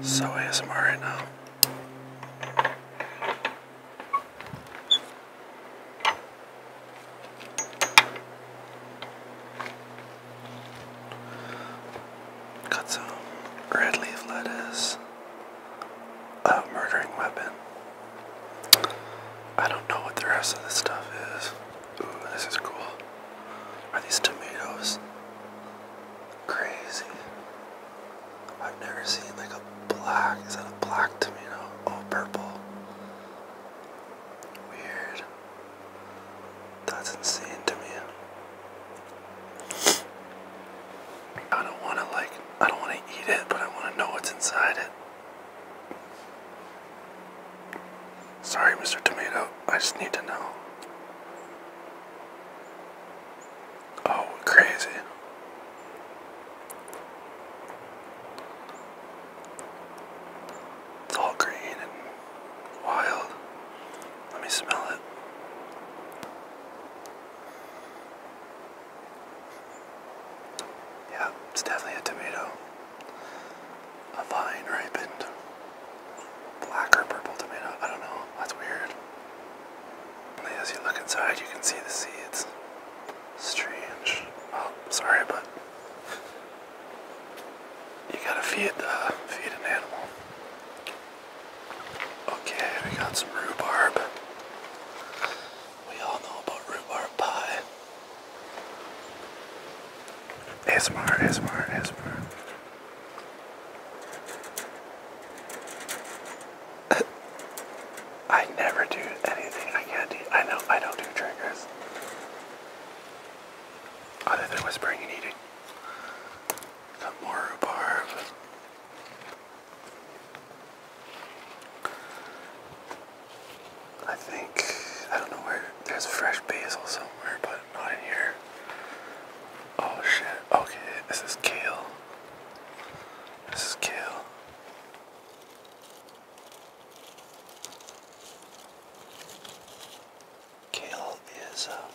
So ASMR right now. Got some red leaf lettuce. A murdering weapon. I don't know what the rest of this stuff is. Ooh, this is cool. Are these tomatoes? crazy. I've never seen like a black, is that a black tomato? Oh, purple. Weird. That's insane to me. I don't want to like, I don't want to eat it, but I want to know what's inside it. Sorry, Mr. Tomato, I just need to know. Oh, crazy. It's all green and wild. Let me smell it. Yeah, it's definitely a tomato. A vine ripened black or purple tomato. I don't know. That's weird. As you look inside, you can see the seeds. Strange. Oh, sorry, but you gotta feed the uh, feed an animal. Okay, we got some rhubarb. We all know about rhubarb pie. ASMR, ASMR, ASMR. I never do anything I can't do. I know I don't do triggers. Other than whispering and eating. Got more rhubarb. I think, I don't know where, there's fresh basil somewhere, but not in here. Oh shit. Okay, this is kale. This is kale. Kale is, um,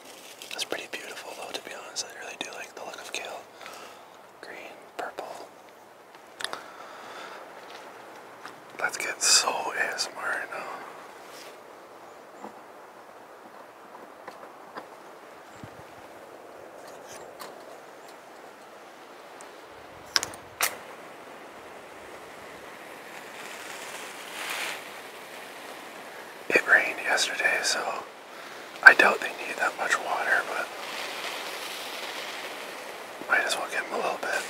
that's pretty beautiful though, to be honest. I really do like the look of kale. Green, purple. Let's get so ASMR right now. It rained yesterday, so I doubt they need that much water, but might as well give them a little bit.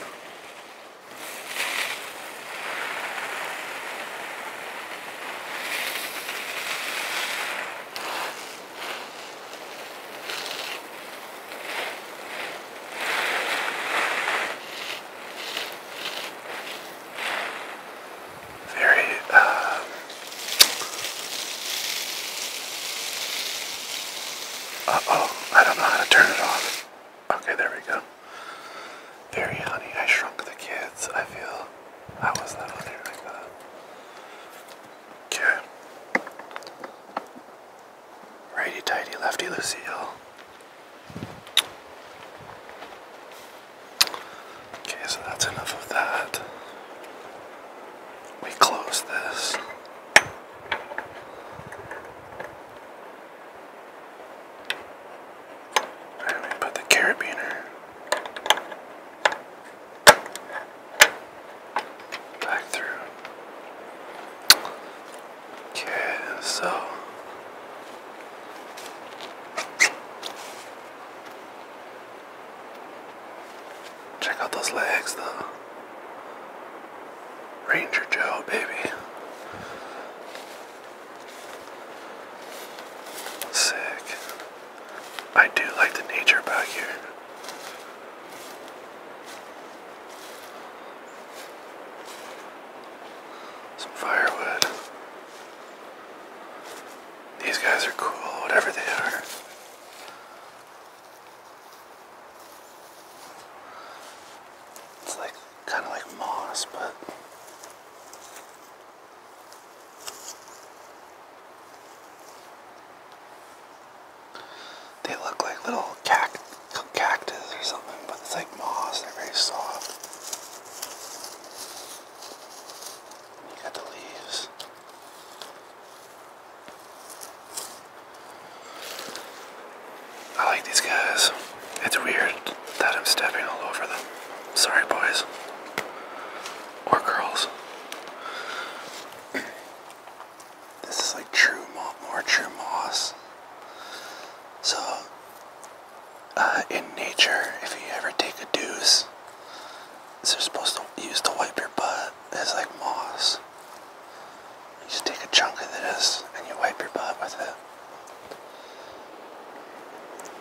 Very uh, oh, I don't know how to turn it off. Okay, there we go. Very honey, I shrunk the kids. I feel I was not honey like that. Okay. Righty tighty, lefty Lucille. Okay, so that's enough of that. We close this. And put the carabiner back through. Okay, so check out those legs though. Ranger Joe, baby. Sick. I do like the nature back here. Some firewood. These guys are cool, whatever they are. It's like kind of like moss, but they look like little cact cactus or something, but it's like moss. They're very soft. You got the leaves. I like these guys. It's weird that I'm stepping all over them. Sorry, boys. Or girls. this is like true more true moss. So, uh, in nature, if you ever take a douche, so you're supposed to use to wipe your butt. It's like moss. You just take a chunk of this and you wipe your butt with it.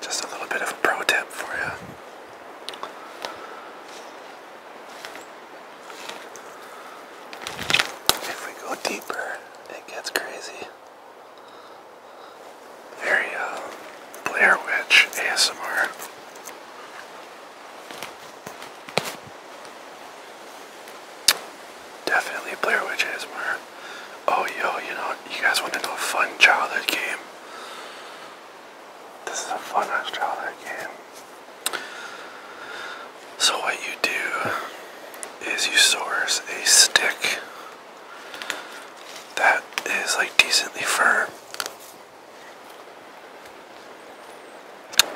Just a little bit of a pro tip for you. If we go deeper, it gets crazy. Very uh, Blair Witch ASMR. Definitely Blair Witch ASMR. Oh yo, you know, you guys want to know a fun childhood game? This is a fun childhood game. So what you do is you source a stick that is like decently firm.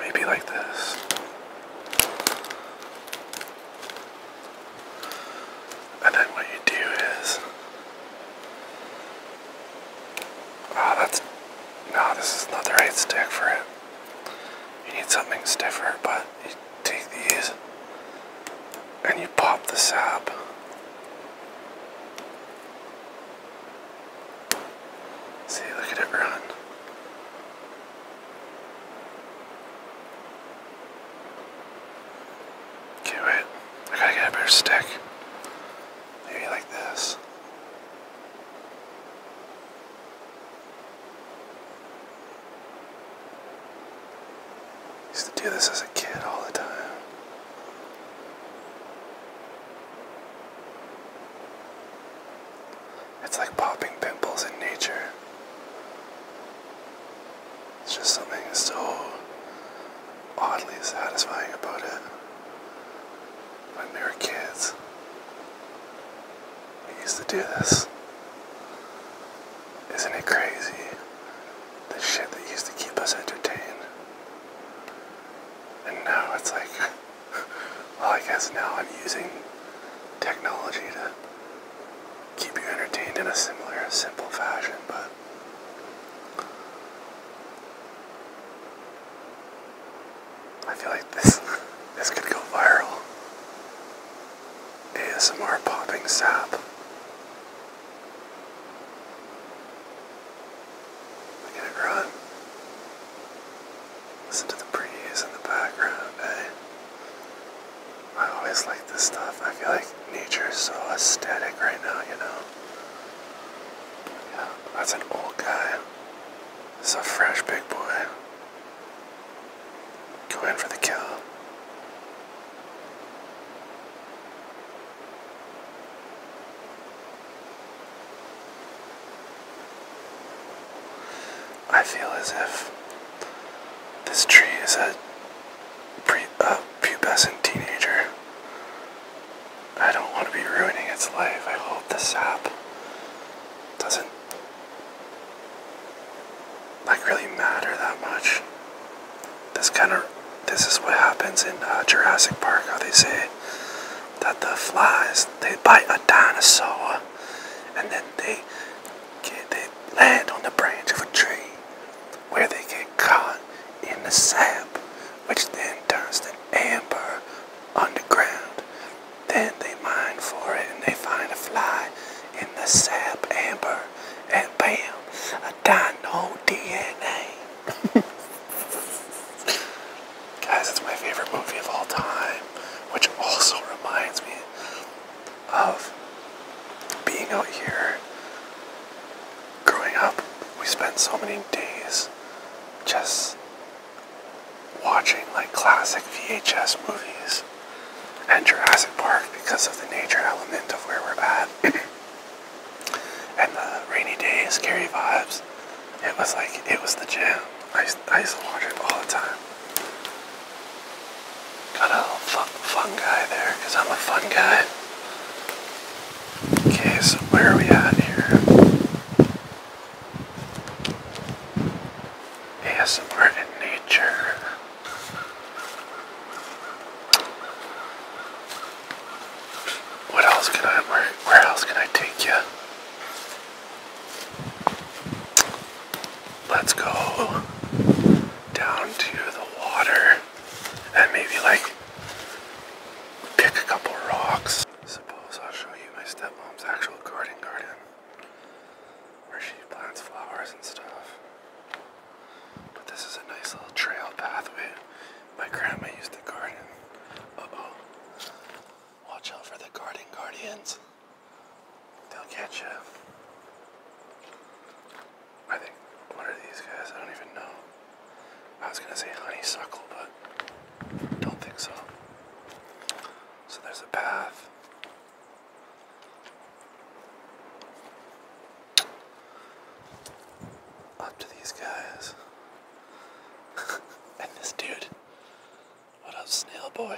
Maybe like this. And then what you do is. Ah, that's. No, this is not the right stick for it. You need something stiffer, but you take these and you pop the sap. See, look at it run. Okay, wait. I gotta get a better stick. Maybe like this. used to do this as a kid all the time. It's like popping pimples in nature. It's just something so oddly satisfying about it. When we were kids, we used to do this. Isn't it crazy? The shit that used to keep us entertained. And now it's like. I guess now I'm using technology to keep you entertained in a similar, simple fashion, but. I feel like this this could go viral. ASMR popping sap. I gotta run. Listen to the breeze in the background, eh? I always like this stuff. I feel like nature's so aesthetic right now, you know? Yeah, that's an old guy. This a fresh big boy. Go in for the kill. I feel as if this tree is a, pre pubescent teenager. I don't want to be ruining its life. I hope the sap doesn't like really matter that much. This kind of this is what happens in uh, Jurassic Park. How they say that the flies they bite a dinosaur and then they get, they land on the branch of a tree where they get caught in the sap which then turns to amber underground. Then they mine for it and they find a fly in the sap amber and bam a dino DNA. Guys, it's my favorite movie of all time, which also reminds me of being out here. Growing up, we spent so many days just watching like classic VHS movies and Jurassic Park because of the nature element of where we're at. And the rainy days, scary vibes. It was like it was the jam. I used, I used to watch it all the time. Got a little fun, guy there because I'm a fun guy. Okay, so where are we at here? ASMR in nature. What else can I where where else can I take you? Let's go down to the water and maybe like pick a couple rocks. Suppose I'll show you my stepmom's actual garden garden where she plants flowers and stuff. But this is a nice little trail pathway. My grandma used to garden. Uh-oh. Watch out for the garden guardians. They'll get you. I think, what are these guys? I don't even know. I was gonna say honeysuckle, but don't think so. So there's a path up to these guys. and this dude. What up, snail boy?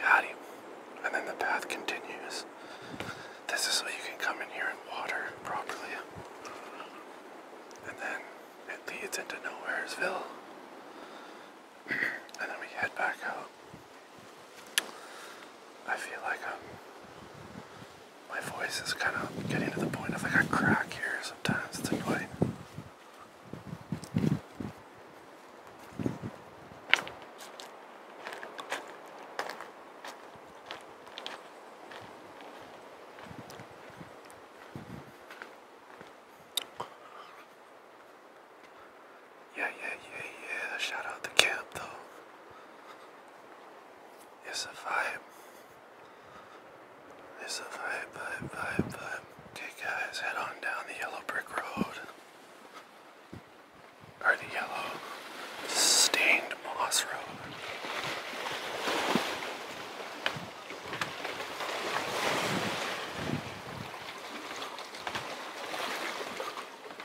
Got him. And then the path continues. This is so you can come in here and water properly. And then it leads into Nowheresville. and then we head back out. I feel like um, my voice is kind of getting to the point of like a crack here sometimes. It's annoying. Yeah, yeah, yeah, yeah. Shout out to camp though. It's a vibe. It's a vibe, vibe, vibe, vibe. Okay, guys, head on down the yellow brick road. Or the yellow stained moss road.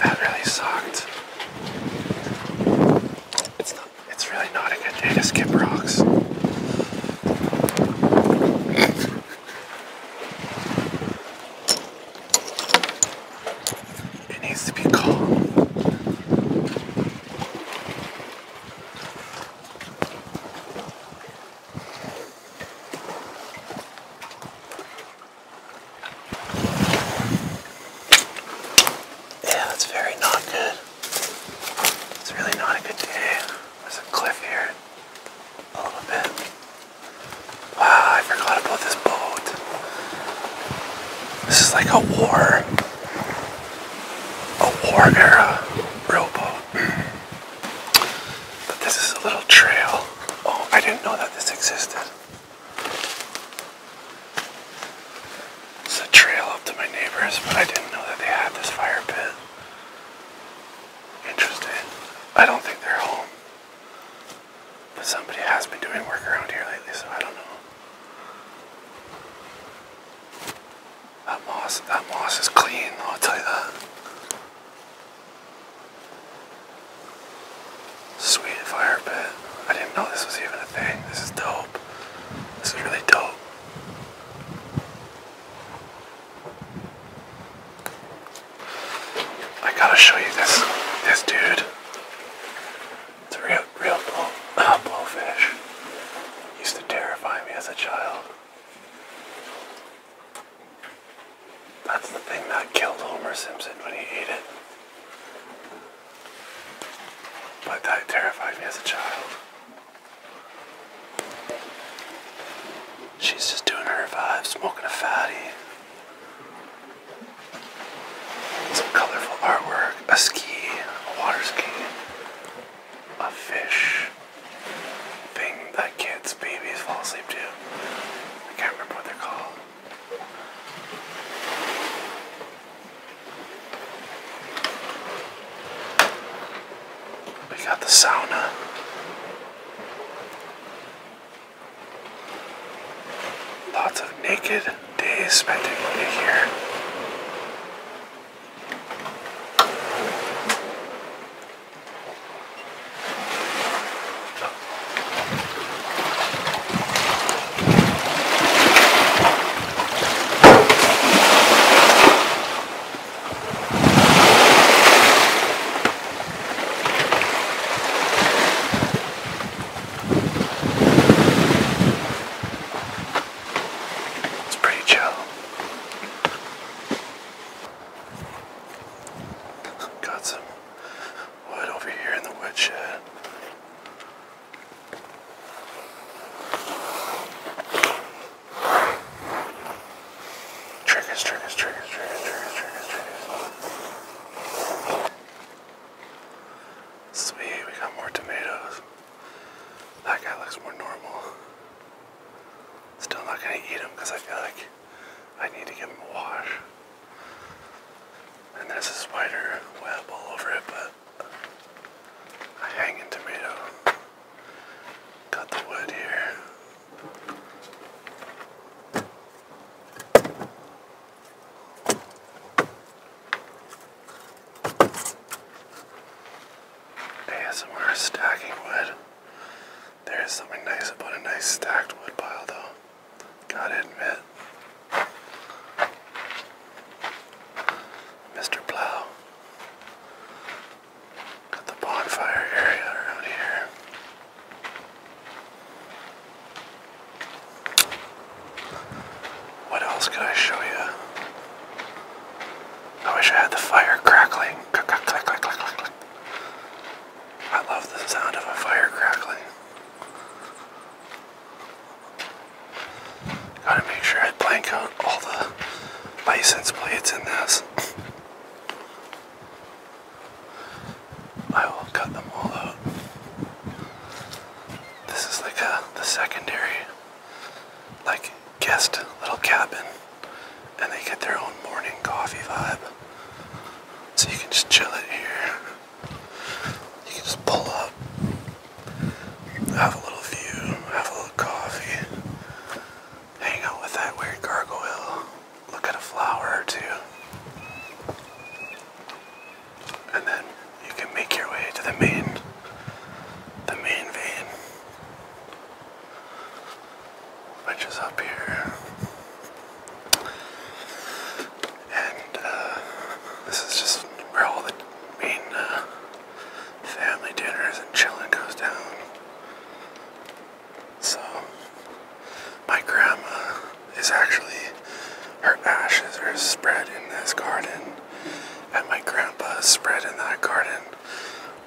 That really sucked. It's not it's really not a good day to skip rocks. It needs to be calm. Yeah, that's very not good. It's really not a good day. There's a cliff here a little bit. Wow, I forgot about this boat. This is like a war a war era rowboat. But this is a little trail. Oh, I didn't know that this existed. It's a trail up to my neighbors, but I didn't know that they had this fire pit. Interesting. I don't think they're home. But somebody has been doing work around here lately, so I don't know. That moss, that moss is clean, I'll tell you that. Sweet fire pit. I didn't know this was even a thing. This is dope. This is really dope. I gotta show you this, this dude. It's a real, real blow, blowfish. Used to terrify me as a child. That's the thing that killed Homer Simpson when he ate it. But that terrified me as a child. She's just doing her vibe, smoking a fatty. Some colorful artwork, a ski, a water ski, a fish thing that kids, babies fall asleep to. I can't remember what they're called. We got the sauna. Lots of naked days spent in here. It's pretty chill. Got some wood over here in the woodshed. Triggers, triggers, triggers, triggers, triggers, triggers, triggers. Sweet, we got more tomatoes. That guy looks more normal. Still not gonna eat him because I feel like I need to give him a wash. And there's a spider web all over it, but a hanging tomato. Got the wood here. ASMR stacking wood. There is something nice about a nice stacked wood pile, though. Gotta admit. Mr. Plow. Got the bonfire area around here. What else could I show you? I wish I had the fire crackling. I love the sound of a fire crackling. Gotta make sure I blank out all the license plates in this. I will cut them all out. This is like a the secondary like guest little cabin and they get their own morning coffee vibe. So you can just chill it here. You can just pull up, have a little view, have a little coffee, hang out with that weird gargoyle look at a flower or two, and then you can make your way to the main, the main vein, which is up here. And uh, this is just where all the main uh, family dinners and chilling goes down. So, my grandma is actually, her ashes are spread in this garden, and my grandpa is spread in that garden.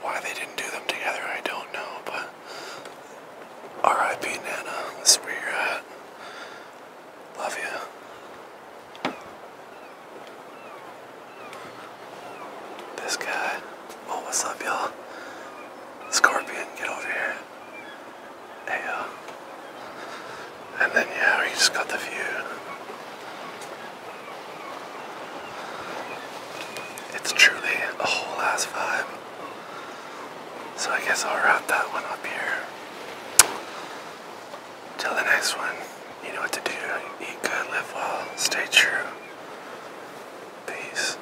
Why they didn't do them together, I don't know, but RIP Nana, that's where you're at. Love you. This guy. Oh, what's up, y'all? Scorpion, get over here here. Uh, and then yeah, we just got the view. It's truly a whole ass vibe. So I guess I'll wrap that one up here. Till the next one, you know what to do. Eat good, live well, stay true. Peace.